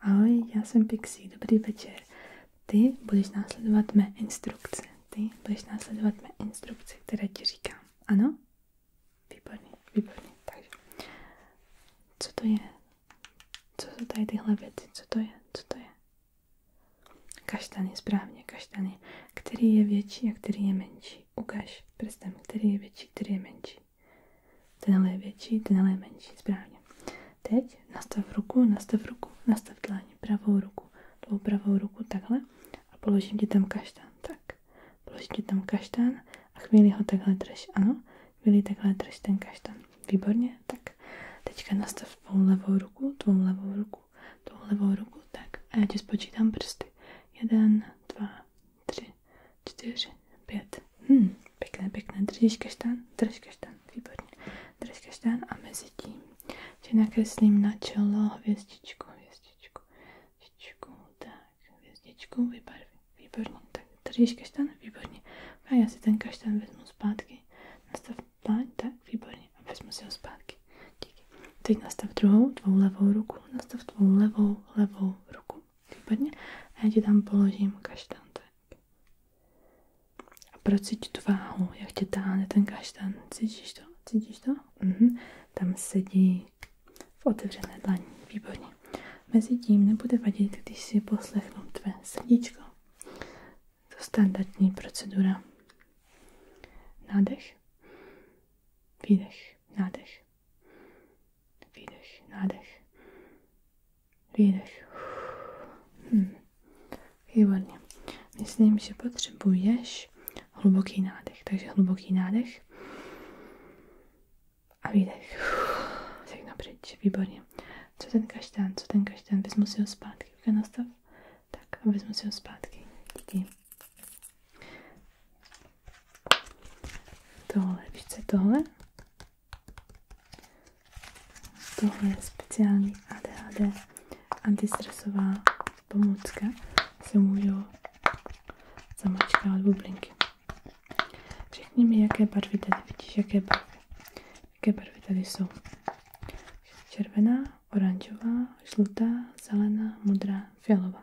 Ahoj, já jsem Pixie, dobrý večer. Ty budeš následovat mé instrukce. Ty budeš následovat mé instrukce, které ti říkám. Ano? Výborně, výborně. Takže, co to je? Co jsou tady tyhle věci? Co to je? Co to je? Kaštany, správně, kaštany. Který je větší a který je menší? Ukaž prstem, který je větší, který je menší. Tenhle je větší, tenhle je menší, správně. Teď nastav ruku, nastav ruku, nastav dlaň, pravou ruku, tou pravou ruku takhle a položím ti tam kaštán, tak. Položím ti tam kaštán a chvíli ho takhle drž, ano, chvíli takhle drž ten kaštán, výborně, tak. Teďka nastav tvou levou ruku, tvou levou ruku, tvou levou ruku, tak. A já ti spočítám prsty. Jeden, dva, tři, čtyři, pět. Hm, pěkné, pěkné. Držíš kaštán? Drž kaštán, výborně. Drž kaštán a mezi tím ti nakreslím na čelo hvězdičku, hvězdičku, hvězdičku, tak, hvězdičku, vybarví, výborně. Tak, držíš kaštán? Výborně. A já si ten kaštán vezmu zpátky. Nastav pláň, tak, výborně. A vezmu si ho zpátky. Díky. Teď nastav druhou, tvou levou ruku. Nastav tvou levou, levou ruku. Výborně. A já ti tam položím kaštan tak. A procíť tu váhu, jak tě táhne ten kaštan. Cítíš to? Cítíš to? Mhm. Tam sedí v otevřené dlaní. Výborně. Mezi tím nebude vadit, když si poslechnu tvé sedíčko. To standardní procedura. Nádech, výdech, nádech, Výdech, nádech. Výdech. Hm. Výborně. Myslím, že potřebuješ hluboký nádech. Takže hluboký nádech a výdech. Všechno pryč. Výborně. Co ten kaštán, co ten kaštán? Vezmu si ho zpátky. Nastav. Tak, vezmu si ho zpátky. Díky. Tohle, víš co je tohle? Tohle je speciální ADHD antistresová pomůcka. Se můžou zamačkávat bublinky. Řekni mi, jaké barvy tady vidíš, jaké barvy. Jaké barvy tady jsou. Červená, oranžová, žlutá, zelená, modrá, fialová.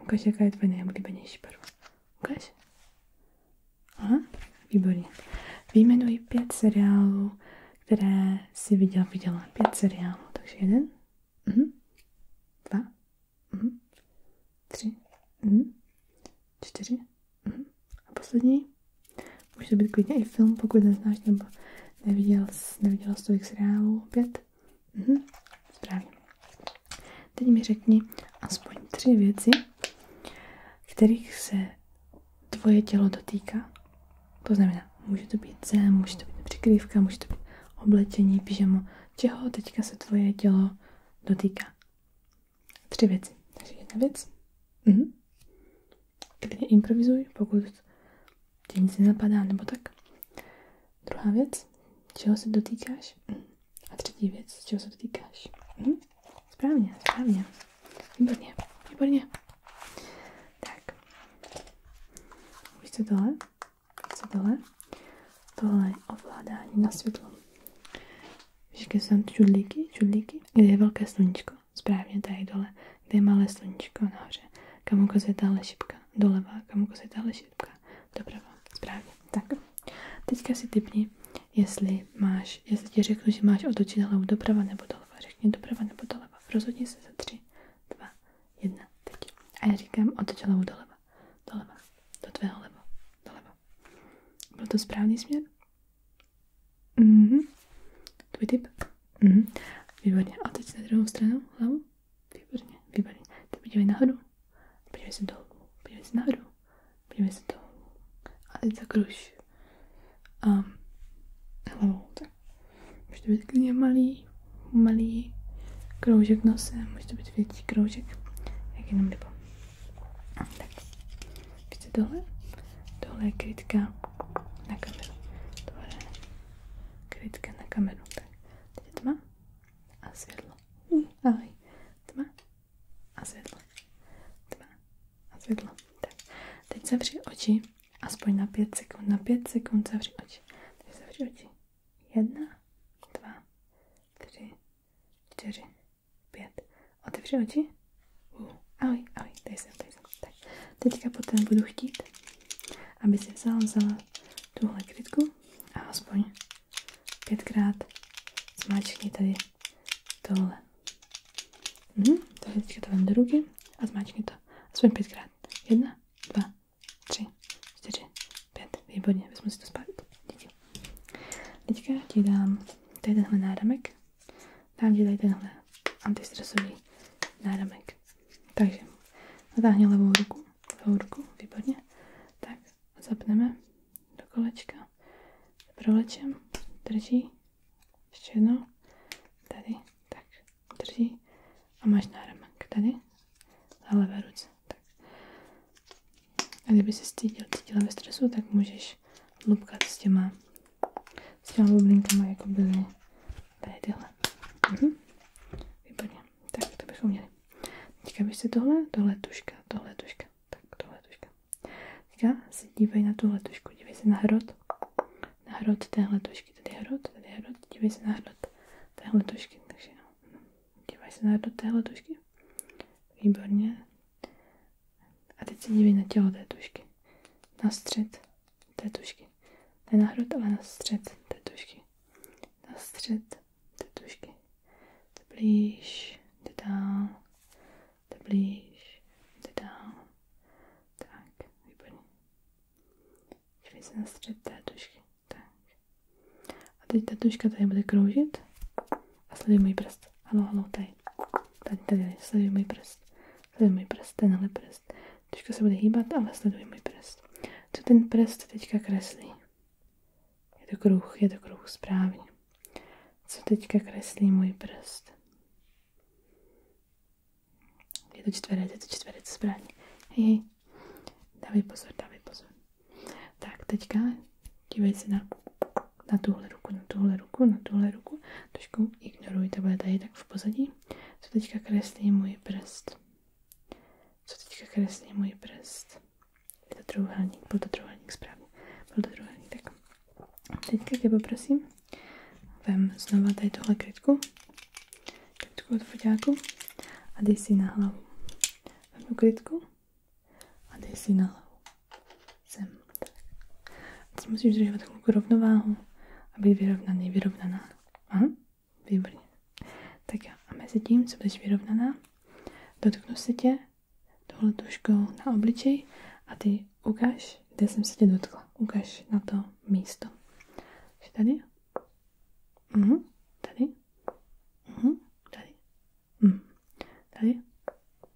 Ukaž, jaká je tvoje nejoblíbenější barva. Ukaž. Aha, výborně. Výjmenuji pět seriálů, které si viděl, viděla. Pět seriálů, takže jeden, mhm. dva, mhm. tři, mhm. čtyři mhm. a poslední. Může to být klidně i film, pokud neznáš nebo neviděl, neviděla z seriálů. Pět, Mhm, správně. Teď mi řekni aspoň tři věci, kterých se tvoje tělo dotýká. To znamená, může to být zem, může to být přikrývka, může to být oblečení, pyžamo. Čeho teďka se tvoje tělo dotýká? Tři věci. Takže jedna věc. Mhm. Klidně improvizuj, pokud tě nic nenapadá, nebo tak. Druhá věc, čeho se dotýkáš. A třetí věc, čeho se dotýkáš. Hm? Správně, správně. Výborně, výborně. Tak. Už co tohle? Co tohle? Tohle je ovládání na světlo. Všechny jsou tam čudlíky, čudlíky, kde je velké sluníčko správně tady dole, kde je malé sluníčko nahoře, kam ukazuje tahle šipka, doleva, kam ukazuje tahle šipka, doprava, správně, tak. Teďka si typni, jestli máš, jestli ti řeknu, že máš otočit hlavu doprava nebo doleva, řekni doprava nebo doleva, rozhodni se za tři, dva, jedna, teď. A já říkám otoč hlavu doleva, doleva, do tvého leva, doleva. Byl to správný směr? Mhm, tvůj tip? Mhm. Výborně. A teď na druhou stranu hlavu. Výborně, výborně. Teď podívej nahoru. Podívej se dolů. Podívej se nahoru. Podívej se dolů. A teď zakruš. A hlavou tak. Může to být klidně malý, malý kroužek nosem, může to být větší kroužek, jak jenom libo. Tak, víte tohle? Tohle je krytka na kameru. Tohle je krytka na kameru. Tak, teď je tma a světlo. Ahoj. Tma a světlo. Tma a světlo. Tak, teď zavři oči. Aspoň na pět sekund. Na pět sekund zavři oči. Teď zavři oči. Jedna, dva, tři, čtyři, pět. Otevři oči. Ahoj, ahoj, tady jsem, tady jsem. Tak, teďka potom budu chtít, aby si vzala, vzala tuhle krytku a aspoň pětkrát zmáčkni tady tohle. Mhm, takže teďka to vem do ruky a zmáčkni to aspoň pětkrát. Jedna, dva, tři, čtyři, pět. Výborně, vezmu si to zpátky. Díky. Teďka ti dám tady tenhle náramek. Dám ti tady tenhle antistresový náramek. Takže natáhni levou ruku, levou ruku, výborně. Tak, zapneme do kolečka, prolečem, drží, ještě jednou, tady, tak, drží a máš náramek tady, na levé ruce. Tak. A kdyby se cítil, cítila ve stresu, tak můžeš lupkat s těma s těma bublinkama jako byly tady tyhle. Mhm. Výborně. Tak to bychom měli. Teďka byš tohle, tohle tuška, tohle tuška, tak tohle tuška. Teďka se dívej na tuhle tušku, dívej se na hrot. Na hrot téhle tušky, tady hrot, tady hrot, dívej se na hrot téhle tušky, takže no. Dívej se na hrot téhle tušky. Výborně. A teď se dívej na tělo té tušky. Na střed té tušky. Ne na hrud, ale na střed té tušky. Na střed té tušky. Jde blíž, jde dál, jde blíž, jde dál. Tak, výborně. Dívej se na střed té tušky. Tak. A teď ta tuška tady bude kroužit. A sleduj můj prst. Halo, halo, tady. Tady, tady, sleduj můj prst. Sleduj můj prst, tenhle prst. Teďka se bude hýbat, ale sleduj můj prst. Co ten prst teďka kreslí? Je to kruh, je to kruh, správně. Co teďka kreslí můj prst? Je to čtverec, je to čtverec, správně. Hej, hej. Dávej pozor, dávej pozor. Tak, teďka dívej se na, na tuhle ruku, na tuhle ruku, na tuhle ruku. Trošku ignoruj, to bude tady tak v pozadí. Co teďka kreslí můj prst? Co teďka kreslí můj prst? Je to trojuhelník, byl to trojuhelník správně. Byl to trojuhelník, tak. Teďka tě poprosím, vem znova tady tuhle krytku, krytku od foťáku a dej si na hlavu. Vem tu krytku a dej si na hlavu. Sem. Tak. A teď musíš držet takovou jako rovnováhu a být vyrovnaný, vyrovnaná. Aha, výborně. Tak jo, a mezi tím, co budeš vyrovnaná, dotknu se tě tohle tuškou na obličej a ty ukáž, kde jsem se tě dotkla. Ukáž na to místo. Takže tady. Mhm, tady. Mhm, tady. Mhm. Tady?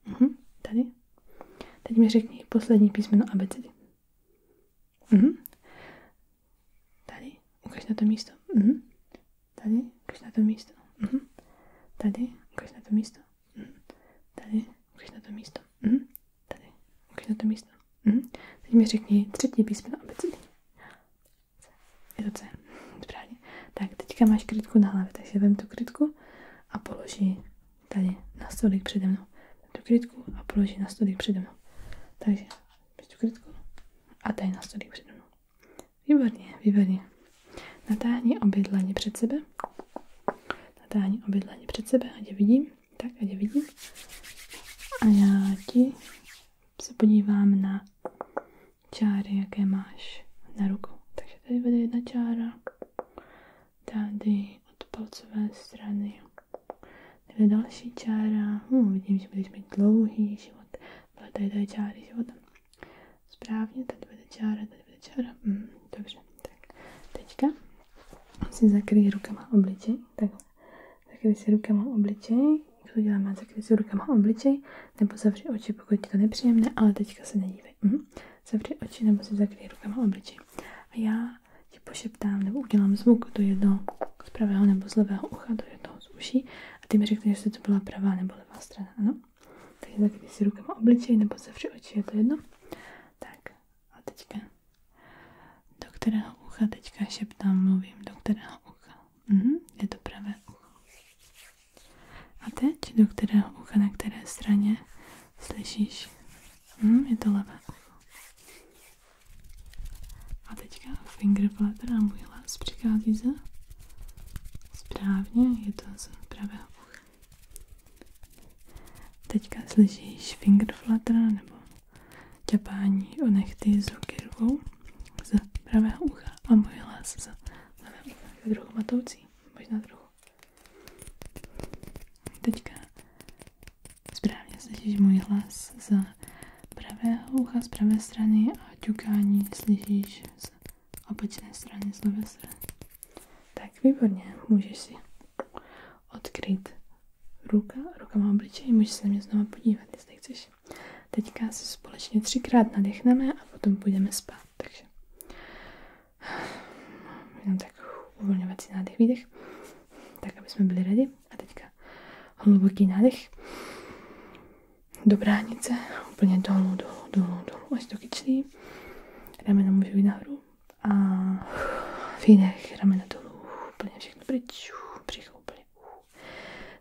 Mhm. Tady? Teď mi řekni poslední písmeno abecedy. Mhm. Tady? Ukaž na to místo. Mhm. Tady? Ukaž na to místo. Mhm. Tady? Ukaž na to místo. Mhm. Tady? Ukaž na to místo. Mhm. Tady? Ukaž na to místo. Mhm. Teď mi řekni třetí písmeno abecedy. Je to C. Správně. Tak, teďka máš krytku na hlavě, takže vem tu krytku a položí tady na stolík přede mnou. Vem tu krytku a položí na stolík přede mnou. Takže, vem tu krytku a tady na stolík přede mnou. Výborně, výborně. Natáhni obě dlaně před sebe. Natáhni obě dlaně před sebe, ať je vidím. Tak, ať je vidím. A já ti se podívám na čáry, jaké máš na ruku. Takže tady bude jedna čára, tady od palcové strany tady další čára. Hm, vidím, že budeš mít dlouhý život. Ale tady to je čáry života. Správně, tady bude čára, tady bude čára. Hm, dobře, tak teďka si zakryj rukama obličej. Takhle. Zakryj si rukama obličej to děláme, zakryj si rukama obličej, nebo zavři oči, pokud ti to nepříjemné, ale teďka se nedívej. Mhm. Zavři oči nebo si zakryj rukama obličej. A já ti pošeptám nebo udělám zvuk do jednoho z pravého nebo z levého ucha, do jednoho z uší a ty mi řekneš, jestli to byla pravá nebo levá strana, ano? Takže zakryj si rukama obličej nebo zavři oči, je to jedno. Tak a teďka do kterého ucha teďka šeptám, mluvím, do kterého ucha. Mhm, je to pravé ucho. A teď do kterého ucha, na které straně slyšíš? Mhm, je to levé ucho. A teďka finger flatter a můj hlas přichází za? Správně, je to z pravého ucha. Teďka slyšíš finger flutter nebo ťapání o nechty z ruky druhou z pravého ucha a můj hlas z levého ucha je druhou matoucí, možná trochu. Teďka správně slyšíš můj hlas z pravého ucha z pravé strany a ťukání slyšíš z opačné strany, z levé strany. Tak výborně, můžeš si odkryt ruka, ruka má obličej, můžeš se na mě znovu podívat, jestli chceš. Teďka se společně třikrát nadechneme a potom půjdeme spát, takže jenom tak uvolňovací nádech, výdech, tak aby jsme byli ready. A teďka hluboký nádech do bránice, úplně dolů, dolů, dolů, dolů, až do kyčlí. Ramena můžu jít nahoru a výdech, ramena dolů, úplně všechno pryč, břicho úplně úplně uh,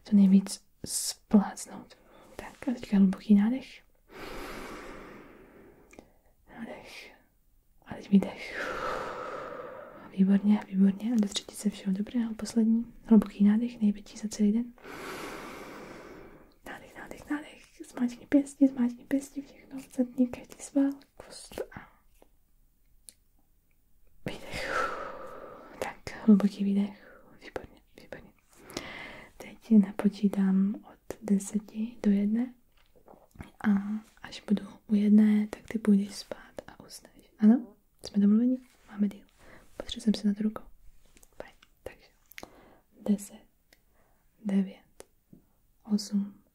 co nejvíc splácnout. Tak a teďka hluboký nádech. Nádech. A teď výdech. Výborně, výborně. A do třetí třetice všeho dobrého. Poslední hluboký nádech, největší za celý den. Nádech, nádech, nádech. Zmáčkni pěstí, zmáčkni pěstí, všechno. Zadní každý sval, kost a Výdech. Tak, hluboký výdech. Výborně, výborně. Teď napočítám od deseti do jedné. A až budu u jedné, tak ty půjdeš spát a usneš. Ano? Jsme domluveni? Máme díl. Potřebuji jsem se nad rukou. Fajn. Takže. deset, devět, osm.